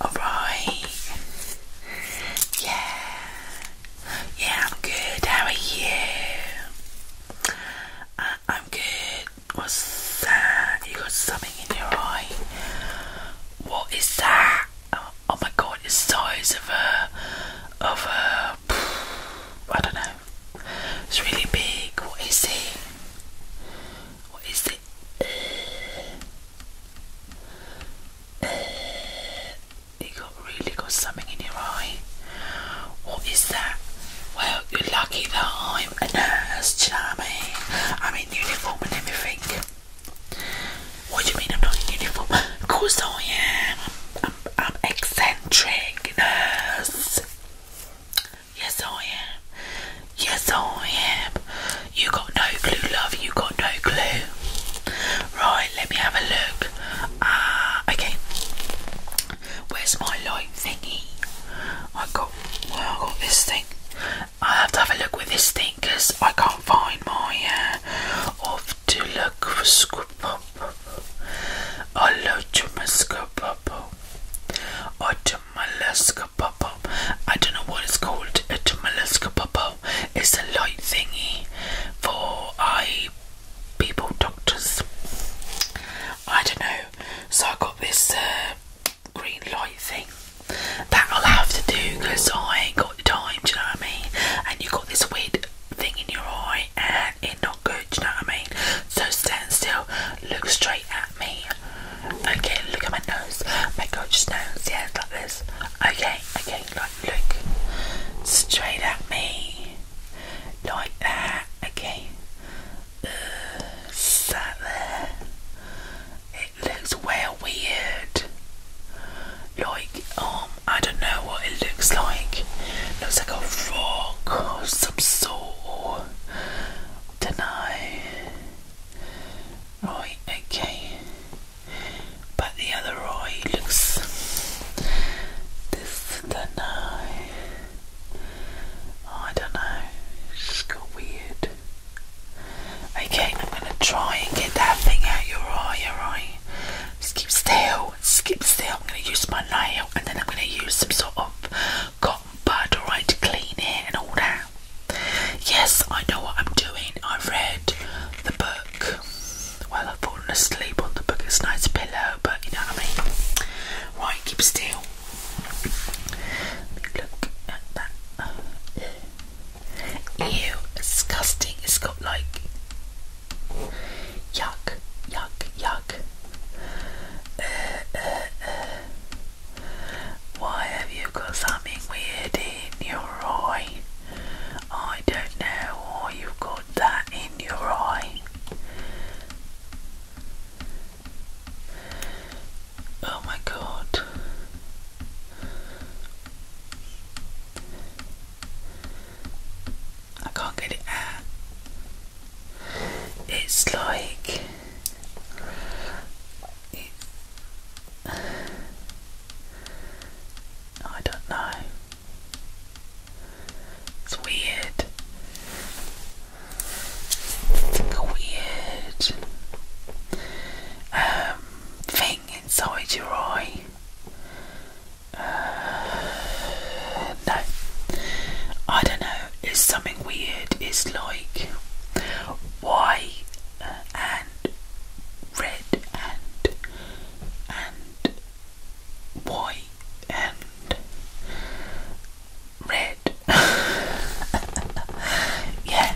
All right. Yeah. Yeah, I'm good. How are you? I'm good. What's that? You got something in your eye? What is that? Oh, oh my god! It's size of a of a. I don't know. It's really big. What is it? What is it? you got really got something in your eye. What is that? Well, you're lucky that I'm a nurse, do I mean? am in uniform and everything. What do you mean I'm not in uniform? Of course I'm, I'm, i eccentric. Yes. I am. Yes, I am. You got no clue, love. You got no clue. Right, let me have a look. Ah, okay. Where's my light thingy? I got. Well, I got this thing. I have to have a look with this thing because I can't find my. Uh, off to look for scoop. I don't know what it's called. A Tumalaska It's a light thingy for eye people, doctors. I don't know. So I got this uh, green light thing that I'll have to do because I ain't got the time, do you know what I mean? And you got this weird thing in your eye and it good, you know what I mean? So stand still, look straight at me. Okay, look at my nose, my gorgeous nose, yeah, like this. Okay, okay, like look straight at me. Like that, okay. Uh, there. It looks well weird. Like, oh I don't know what it looks like. looks like a rock or some sort. do Right, okay. But the other eye looks this do I don't know. It's just got weird. Okay, I'm gonna try and get that thing out your eye, alright? Just keep still skip still. I'm going to use my nail and then I'm going to use some sort of cotton bud, alright, to clean it and all that. Yes, I know what I'm doing. I've read the book. Well, I've fallen asleep on the book. It's a nice pillow, but you know what I mean. Right, keep still. Let me look at that. ew, disgusting. It's got like Yuck! Yuck! Yuck! Uh, uh, uh, Why have you got something weird in your eye? I don't know why you've got that in your eye. Oh my god. I can't get it out. It's like it, I don't know. It's weird. It's like a weird um, thing inside your eye no. I don't know. It's something weird. It's like white uh, and red and and white and red. yeah.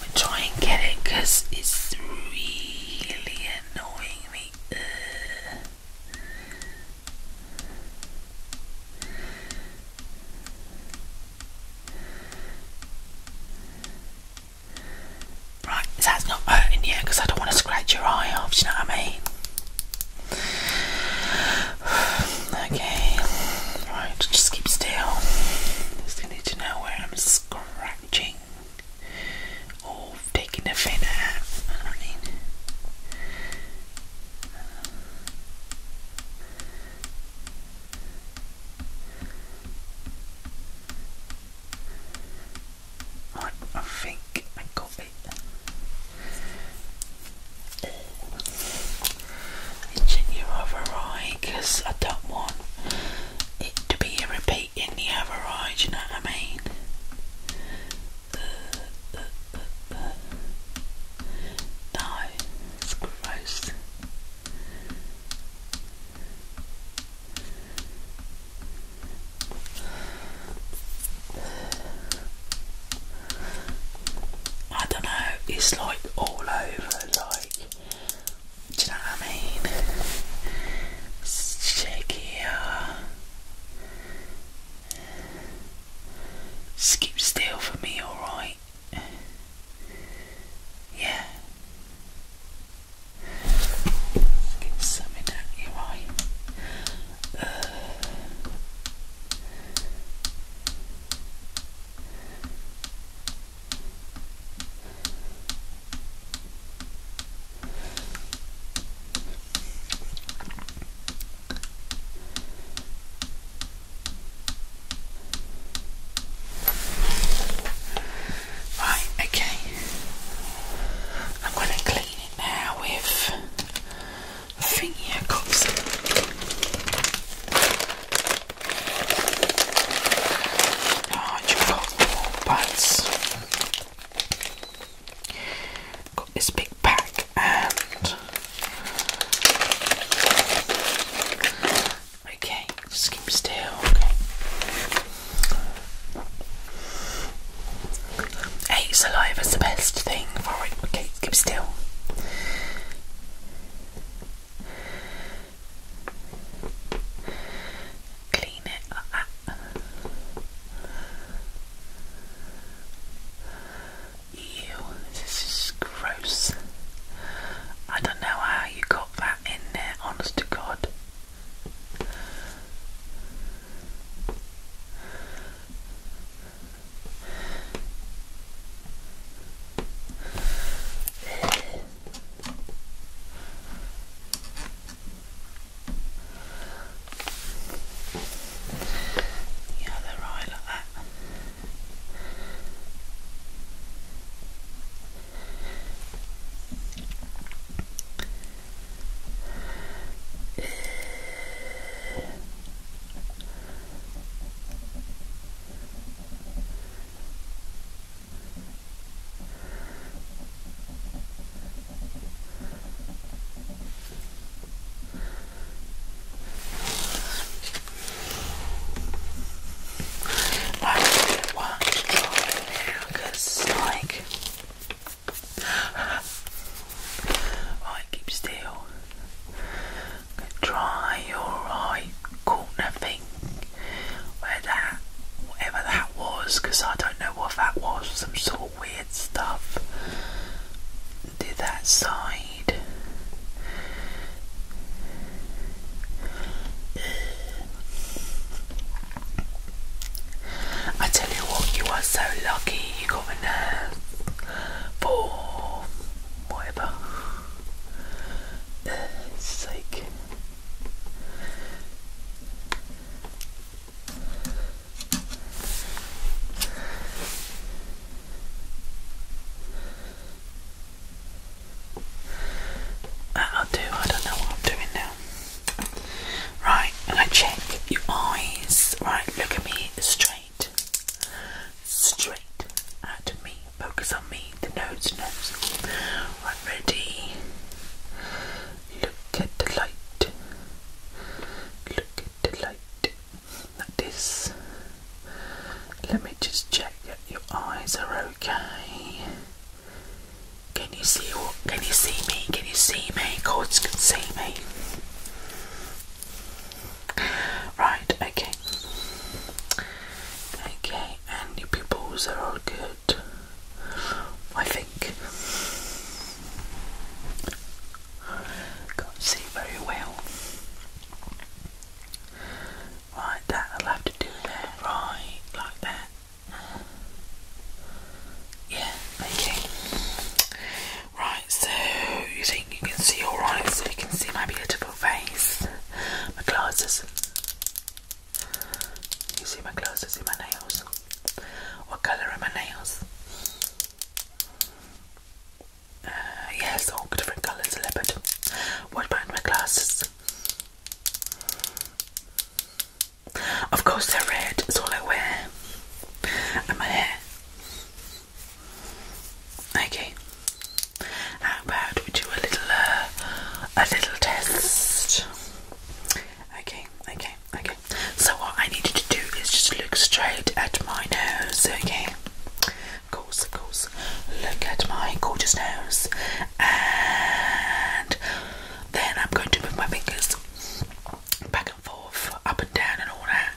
we try and get it because it's really annoying me Right, that's not hurting you I don't want to scratch your eye off, you know what I mean? Okay, right, just keep still. Just need to know where I'm scratching or taking the fin out. I mean. I, think I got it. Itching your other eye I don't want it to be a repeat weight in the other eye, you know what I mean? No, it's gross. I don't know, it's like all over, like do you know what I mean? Shakier. Skip still for me, alright? Yeah. Skip something at you, right? Uh. Right, okay. I'm going to clean it now with a thingy I got some. Large cotton wool buds. Got this big pack and okay, keep still. Okay. Hey, saliva's the best thing for Okay, keep still clean it like Ew, this is gross. I don't know how you got that in there, honest to God the other eye like that. I want to go in now because it's like, right, keep still. Try your right corner where that whatever that was because I don't know what that was some sort of weird stuff did that side I tell you what you are so lucky you got a nerve for whatever uh, sake i will do, I don't know what I'm doing now. Right, and i check your eyes. Right, look at me straight. Straight at me. Focus on me the nose, nose. I'm ready. Look at the light. Look at the light. Like this. Let me just check that your eyes are okay. Can you see Can you see me? Can you see me? Cords can see me. Right, okay. Okay, and your pupils are all good. I think. Can't see very well. Right, that I'll have to do there. Right, like that. Yeah, okay. Right, so you think you can see alright, so you can see my beautiful face. My glasses. You see my clothes, you see my nails. What colour are my nails? Uh, yes, all different colours, leopard. What about my glasses? Of course, they're red, it's all I wear. And my hair. Okay. How about we do a little, uh, a little test? Okay, okay, okay. So what I need you to do is just look straight at my nose, okay? Of course, Look at my gorgeous nose. And then I'm going to move my fingers back and forth, up and down and all that.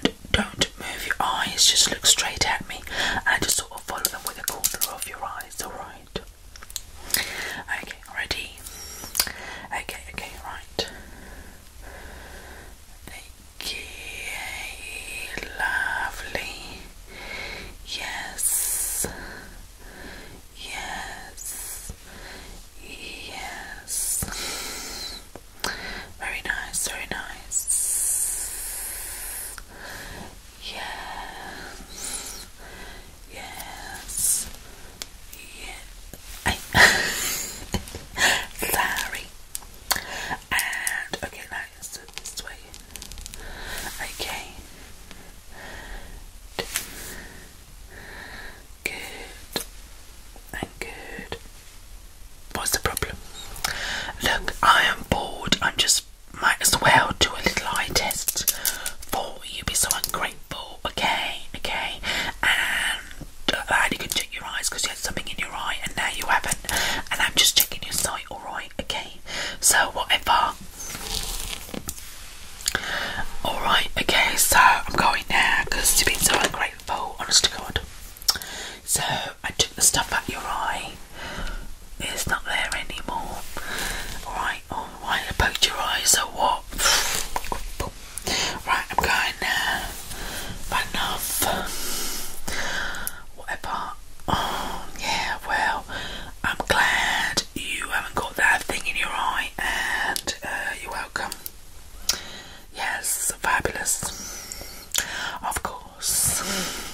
And don't move your eyes, just look straight at me. And just sort of follow them with the corner of your eyes, alright? Okay, ready? Okay, okay, right. Okay, lovely. Yes. Yes. Yes. Very nice, very nice. Yes. Yes. Yeah. Sorry. And okay, let's do this way. Okay. Good. And good. What's the problem? Look, I am bored. I'm just might as well do a little eye test for you. Be so ungrateful, okay? Okay, and I uh, you can check your eyes because you had something in your eye and now you haven't, and I'm just checking your sight, alright? Okay, so whatever. Alright, okay, so I'm going now because you've been so ungrateful, honest to God. So I took the stuff out your eye it's not there anymore. Right, oh, why you your eyes or what? Right, I'm going now. enough. Whatever. Oh, yeah, well, I'm glad you haven't got that thing in your eye, and uh, you're welcome. Yes, fabulous. Of course.